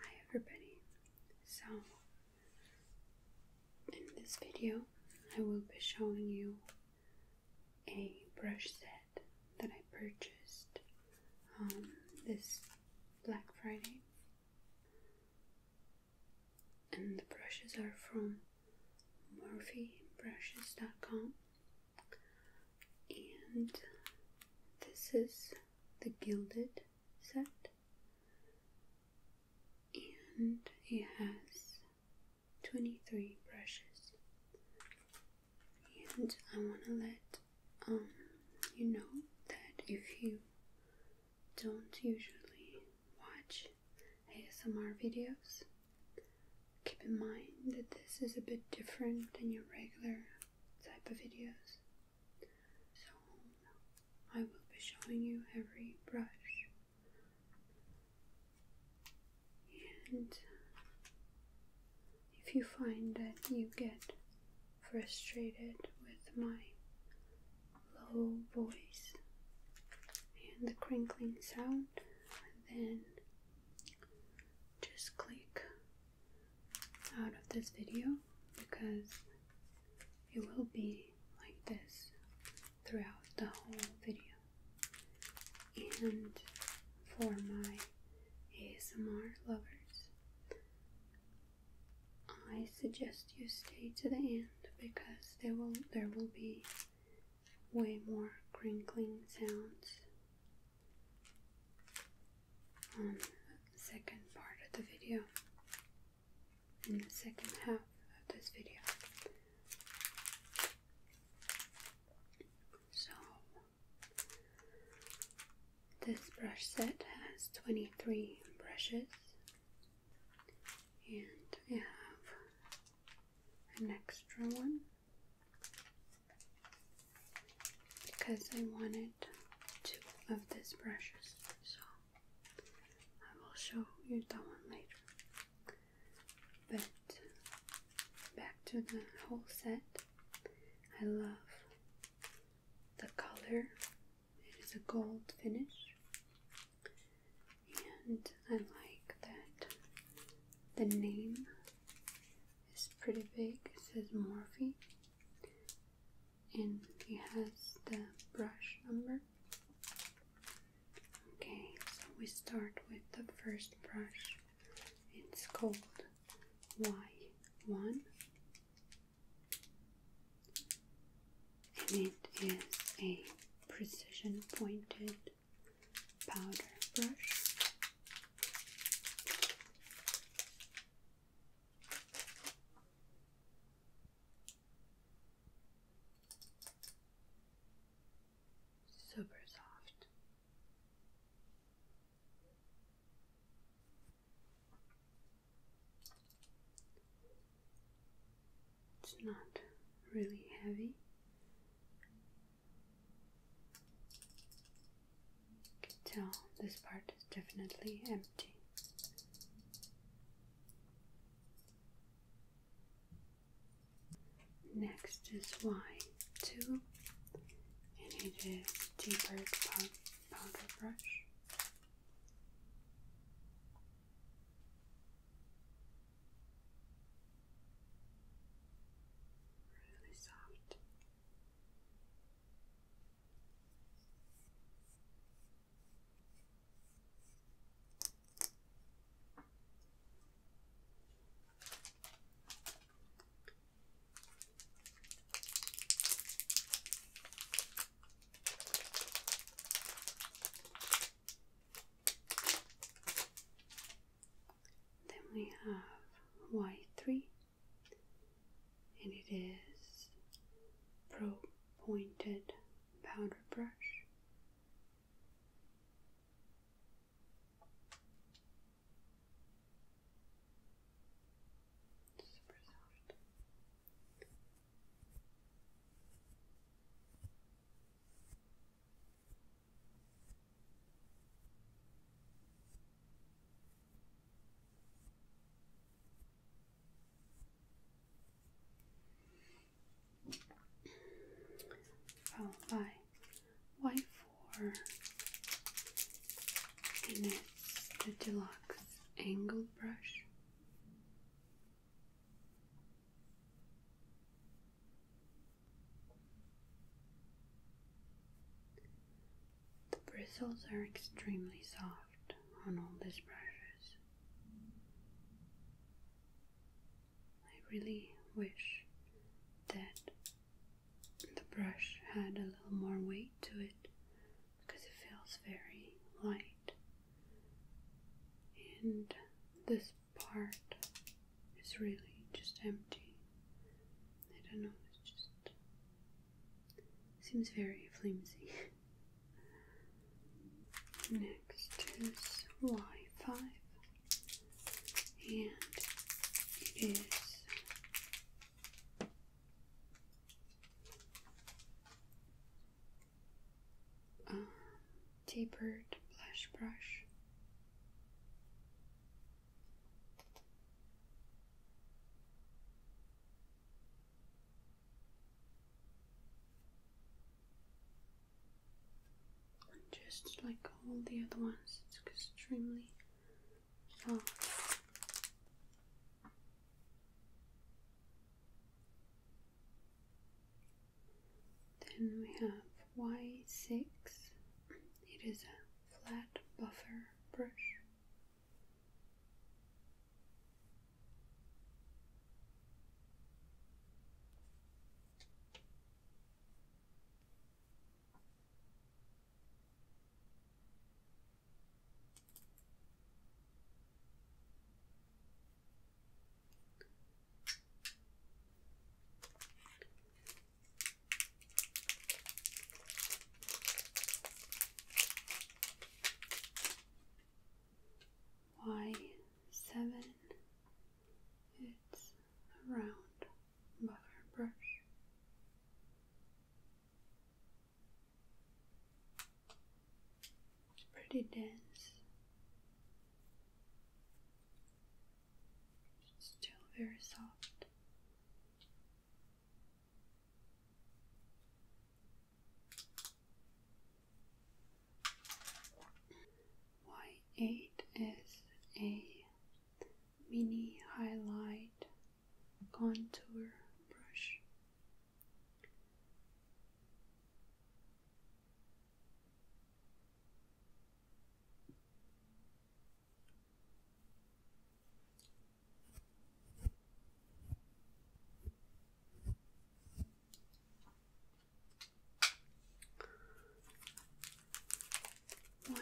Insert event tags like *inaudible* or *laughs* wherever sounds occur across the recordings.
Hi everybody. So in this video I will be showing you a brush set that I purchased um, this Black Friday and the brushes are from murphybrushes.com and this is the gilded set and it has 23 brushes and I want to let um, you know that if you don't usually watch ASMR videos Keep in mind that this is a bit different than your regular type of videos. So, I will be showing you every brush and if you find that you get frustrated with my low voice and the crinkling sound, then just click out of this video because it will be like this throughout the whole video. And for my ASMR lovers, I suggest you stay to the end because there will there will be way more crinkling sounds on the second part of the video, in the second half of this video. So, this brush set has 23 brushes and we have an extra one because I wanted two of these brushes, so I will show you that one later. But back to the whole set, I love the color, it is a gold finish, and I like that the name is pretty big, it says Morphe, and it has the brush number. Okay, so we start with the first brush, it's called Y1, and it is a precision pointed powder brush. Super soft. It's not really heavy, can tell this part is definitely empty. Next is Y2, and it is deeper powder brush really soft. Then we have y3, and it is pro pointed powder brush. Super soft followed by white four, and it's the deluxe angled brush the bristles are extremely soft on all these brushes. I really wish that the brush had a little more weight to it because it feels very light. And this part is really just empty. I don't know, it just seems very flimsy. *laughs* Next is Y5, and it is um, tapered blush brush. And just like all the other ones, it's extremely soft. Then we have Y6, it is a flat buffer brush. Y seven, it's a round buffer brush. It's pretty dense still very soft. Y8 is a mini highlight contour brush.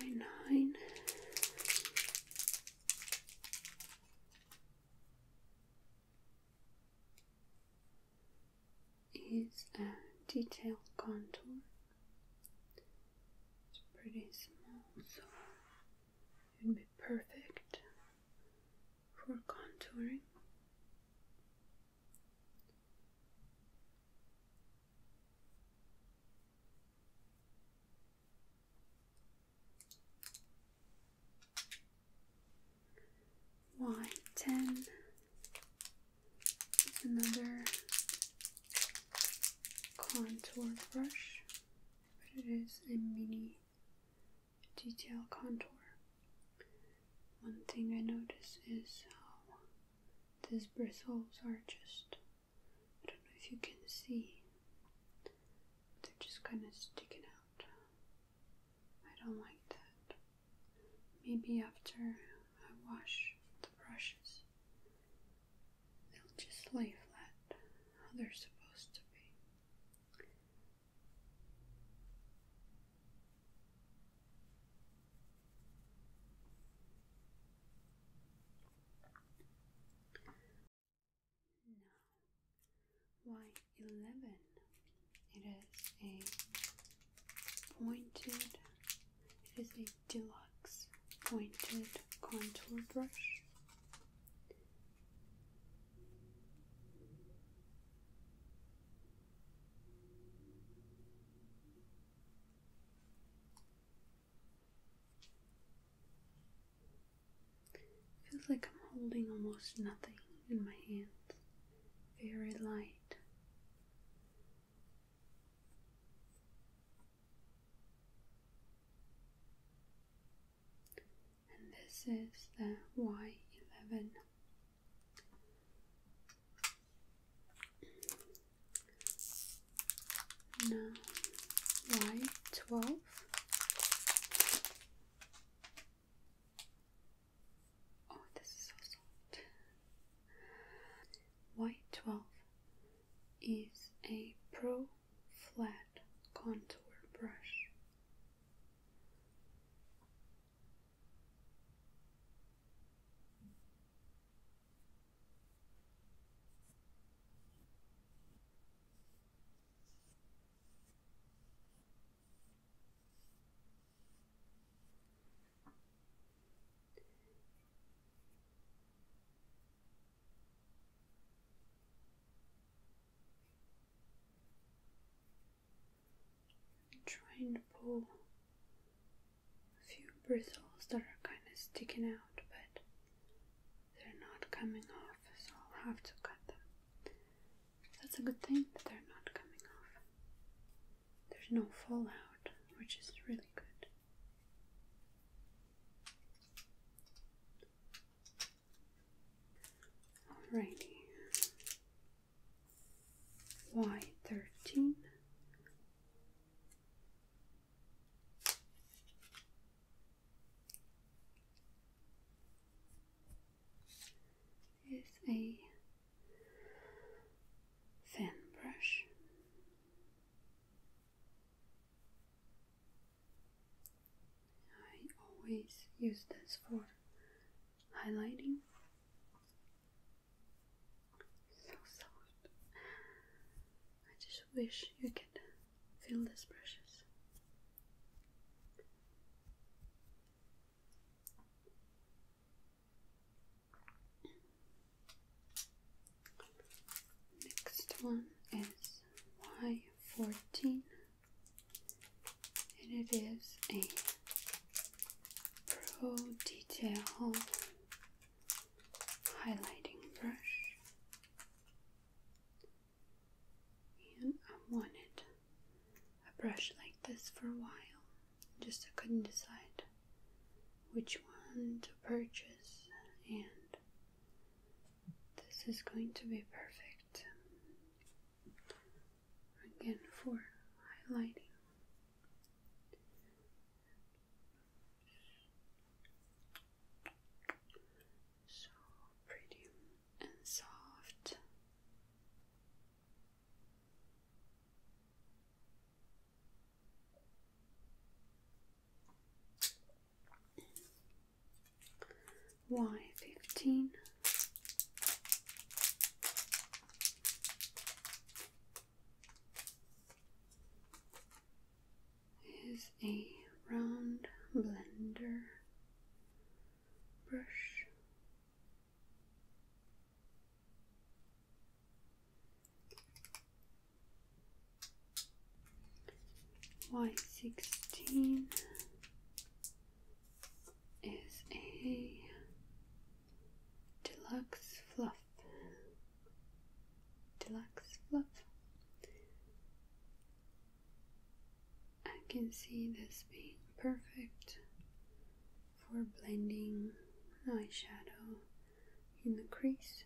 Y nine is a detailed contour. It's pretty small, so it would be perfect for contouring. Y ten is another contour brush, but it is a mini detail contour. One thing I notice is how these bristles are just, I don't know if you can see, they're just kind of sticking out. I don't like that. Maybe after I wash the brushes, they'll just lay flat how they're supposed to be. Now, why eleven? It is a pointed, it is a deluxe pointed contour brush. Feels like I'm holding almost nothing in my hands. Very light, and this is the Y11. Now Y12. Oh, this is so soft. Y12 is a pro flat contour brush. Try and pull a few bristles that are kind of sticking out, but they're not coming off, so I'll have to cut them. That's a good thing that they're not coming off. There's no fallout, which is really good. Alrighty. Y thirteen. Is a thin brush. I always use this for highlighting. So soft. I just wish you could feel these brushes. Next one is Y14, and it is a Pro Detail highlighting brush, and I want it I brushed like this for a while, just I couldn't decide which one to purchase, and this is going to be perfect again for highlighting. So pretty and soft. Y fifteen. Is a round blender brush Y sixteen is a deluxe fluff. Deluxe fluff. I can see this being perfect for blending eyeshadow in the crease.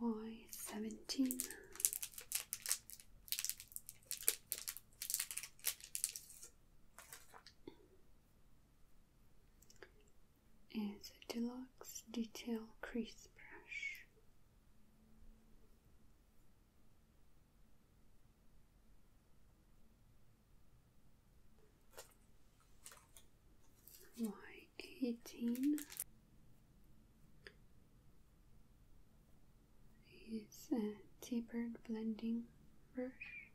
Y seventeen is a deluxe detail crease brush. Y eighteen is a tapered blending brush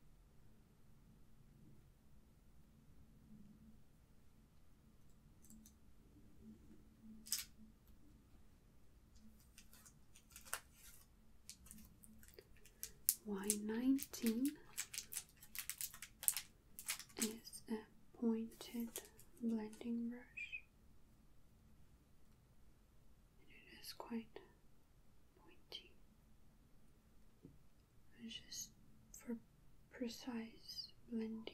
Y nineteen is a pointed blending brush. And it is quite pointy just for precise blending.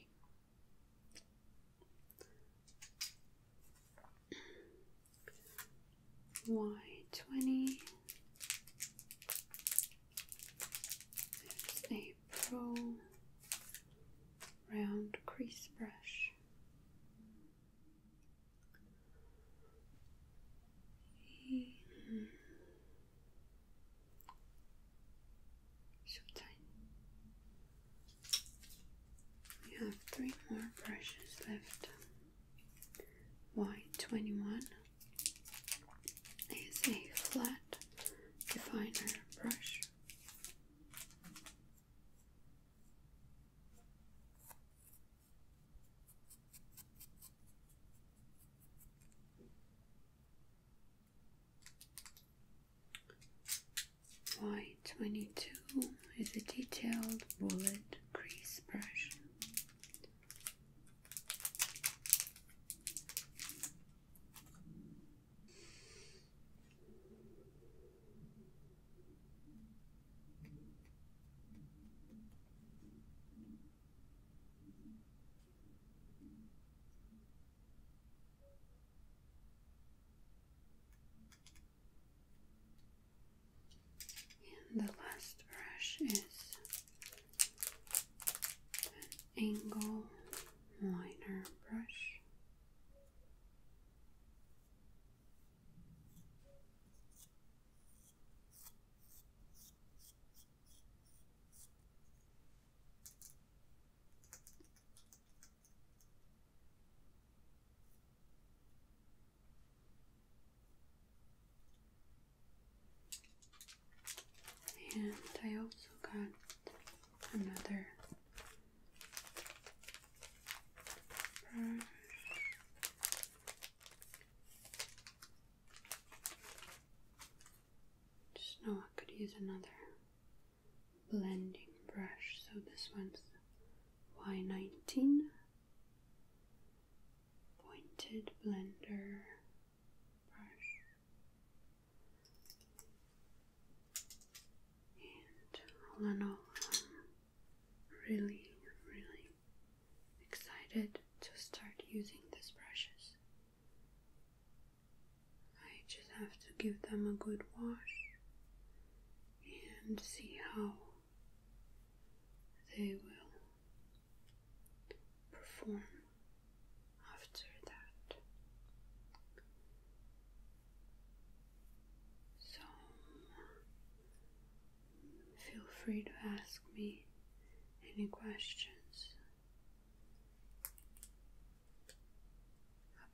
Y20 It's a pro round crease brush. Mm so tight. We have three more brushes left. Y21 is a flat definer brush. Y22 is a detailed bullet crease brush. And the last brush is an angle liner brush. And I also got another brush. Just know I could use another blending brush, so this one's Y19 pointed blender brush. And all in all, i really, really excited to start using these brushes. I just have to give them a good wash and see how they will perform after that. So Feel free to ask me any questions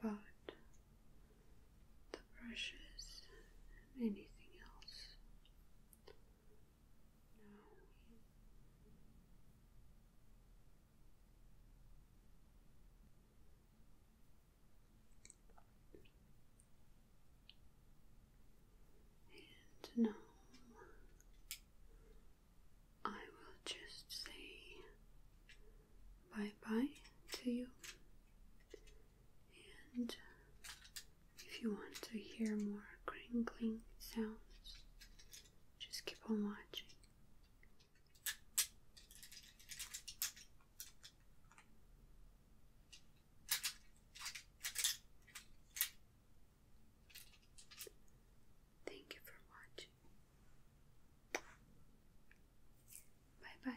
about the brushes anything else. And now um, I will just say bye bye to you. And if you want to hear more crinkling sounds, just keep on watching. Thank you for watching. Bye bye.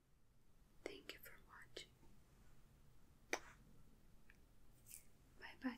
Thank you for watching. Bye bye.